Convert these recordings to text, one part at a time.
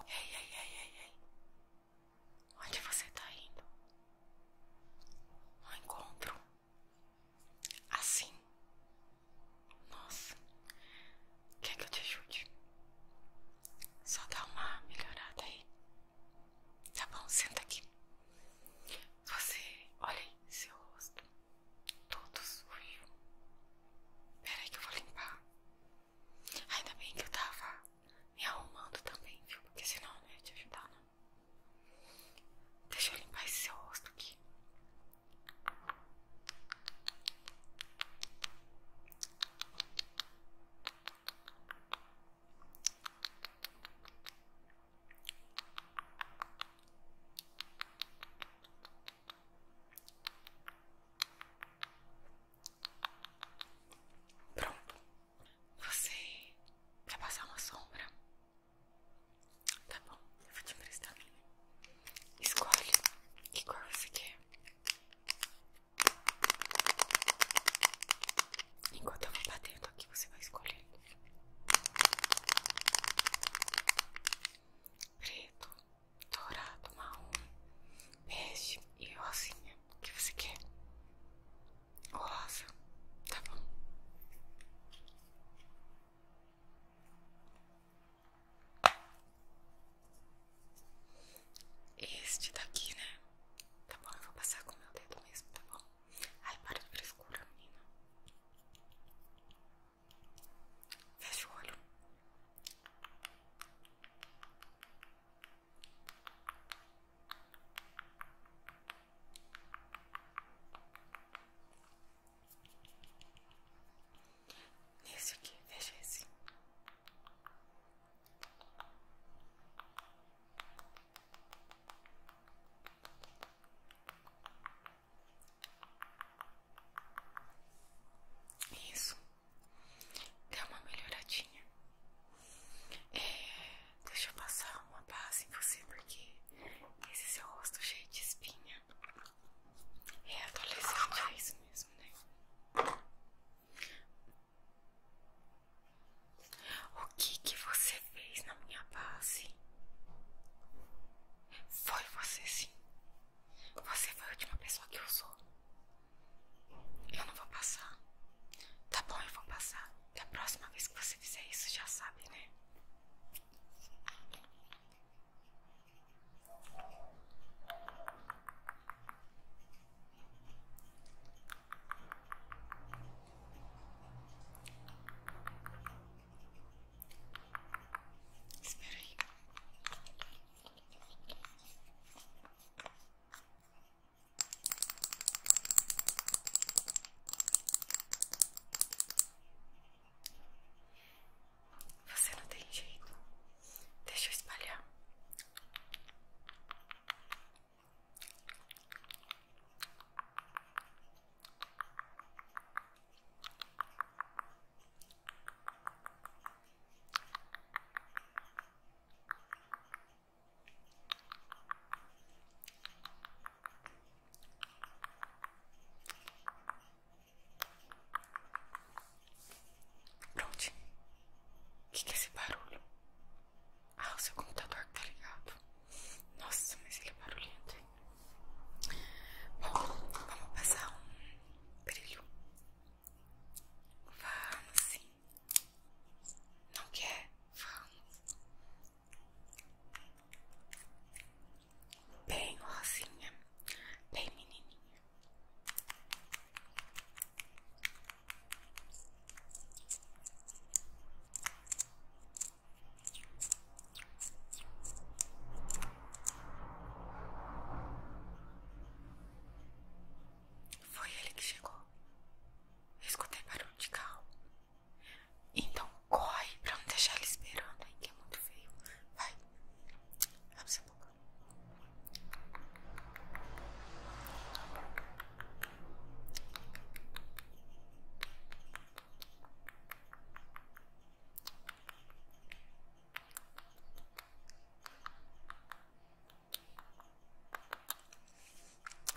Ei, ei, ei, ei, ei. Onde você tá indo? Um encontro? Assim? Nossa. Quer que eu te ajude? Só dá uma melhorada aí. Tá bom, senta aqui. Você, olha aí seu rosto todos sujo. Peraí que eu vou limpar. Ainda bem que eu tava me arrumando também, viu? Porque senão não ia te ajudar, não. Deixa eu limpar esse seu rosto aqui. Tá Pronto. Você vai passar uma sombra? Tá bom, eu vou te emprestar a minha. Escolhe que cor você quer. Enquanto eu vou batendo aqui, você vai escolher preto, dourado, marrom, bege e rosinha. O que você quer? rosa, tá bom? Este daqui, né? Tá bom, eu vou passar com meu dedo mesmo, tá bom? Ai, para de frescura, menina. Fecha o olho. esse aqui, veja esse. Isso deu uma melhoradinha. É, deixa eu passar uma base em você porque esse seu rosto cheio de espinha é adolescente, é isso mesmo, né? O que que você fez na minha base? Foi você sim. Você foi a última pessoa que usou. Eu não vou passar. Tá bom, eu vou passar. Da próxima vez que você fizer isso, já sabe, né? Espera aí. Você não tem jeito. Deixa eu espalhar prontinho O que, que é esse barulho? Ah, o seu computador tá ligado. Nossa, mas ele é barulhento. Bom, vamos passar um brilho. Vamos sim. Não quer? Vamos. Bem rosinha, bem menininha. Foi ele que chegou. escutei barulho de carro. Então corre pra não deixar ele esperando, aí que é muito feio. Vai. Abre sua boca.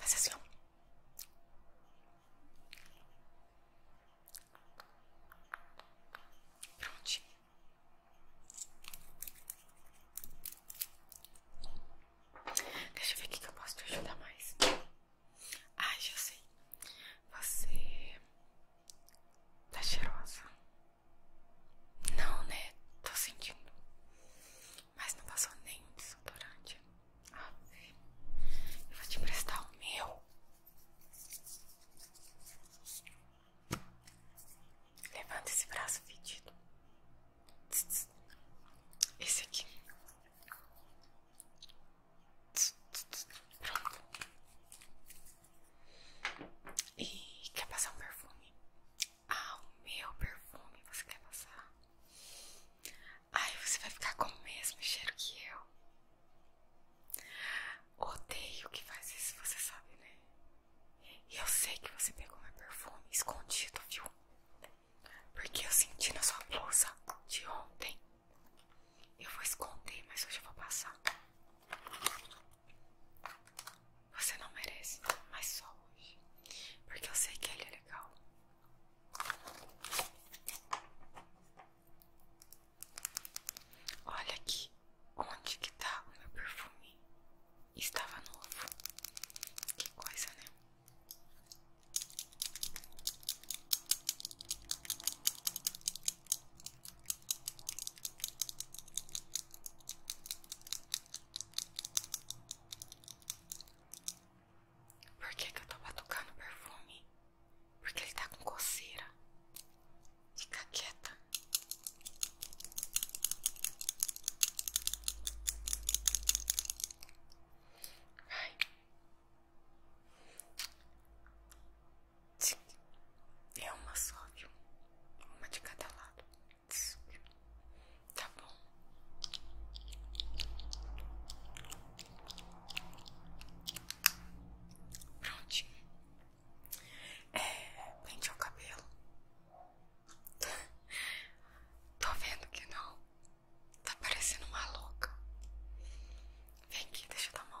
Faz assim, Prontinho. Deixa eu ver o que eu posso te ajudar mais. Ah, já sei. Você Tá cheirosa? Não, né? Tô sentindo. Mas não passou nenhum desodorante. Ah, eu vou te emprestar o meu. Levanta esse braço fedido. Esse aqui. E quer passar um perfume? Ah, o meu perfume você quer passar? Aí você vai ficar com o mesmo cheiro que eu. Odeio que faz isso, você sabe, né? E eu sei que você pegou meu perfume escondido, viu? Porque eu senti na sua blusa de ontem. Eu vou esconder, mas hoje eu vou passar. Você não merece, mas só hoje. Porque eu sei que ele é legal. Olha aqui onde que tá o meu perfume. Estava novo. Que coisa, né? Por que, eu tô batucando perfume? Porque ele tá com coceira. Fica quieta. Vai. É uma só, viu? Uma de cada lado. Tá bom. Prontinho. É, pentear o cabelo. Tô vendo que não. Tá parecendo uma louca. Vem aqui, deixa eu dar uma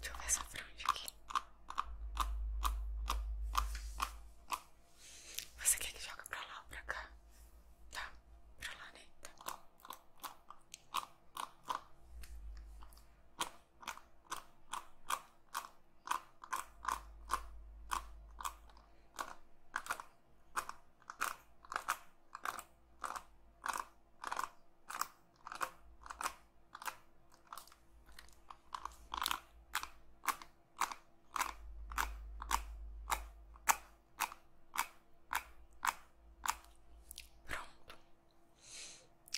Deixa eu ver essa franja aqui. Você quer que joga pra lá ou pra cá? Tá, pra lá, né? Tá. Pronto.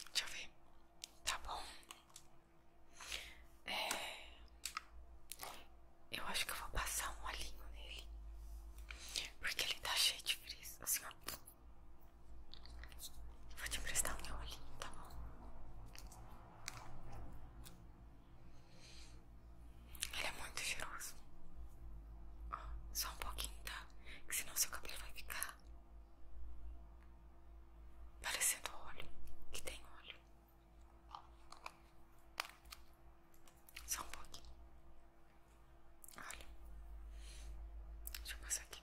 Deixa eu ver. Tá bom. É... Eu acho que eu vou passar um olhinho nele. Porque ele tá cheio de frizz. Assim, ó. Vou te emprestar um meu olhinho, tá bom? Ele é muito cheiroso. só um pouquinho, tá? Que senão seu cabelo vai ficar parecendo óleo, que tem óleo. Só um pouquinho. Olha. Deixa eu passar aqui.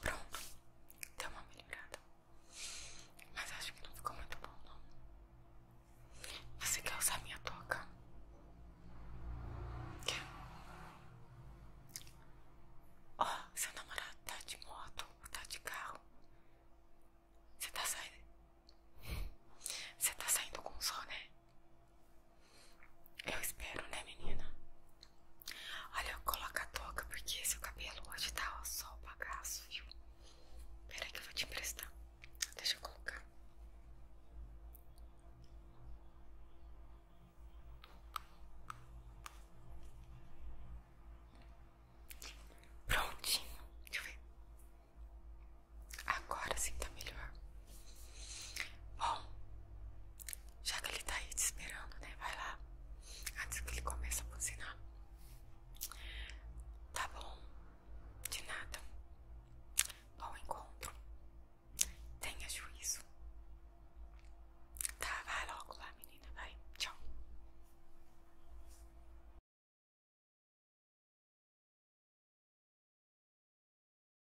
Pronto, deu uma melhorada. Mas acho que não ficou muito bom, não. Você quer usar minha touca? Quer? Ó, oh, seu namorado tá de moto ou tá de carro? Você tá saindo. Você tá saindo com o sol, né? Eu espero, né, menina? Olha, coloca a toca porque seu cabelo hoje tá ó, só o bagaço, viu? Peraí que eu vou te emprestar. Deixa eu colocar. Prontinho, deixa eu ver. Agora sim tá melhor. Bom, já que ele tá aí te esperando, né? Vai lá. Antes que ele comece a funcionar Tá bom. De nada. Bom encontro. Tenha juízo. Tá, vai logo lá, menina. Vai. Tchau.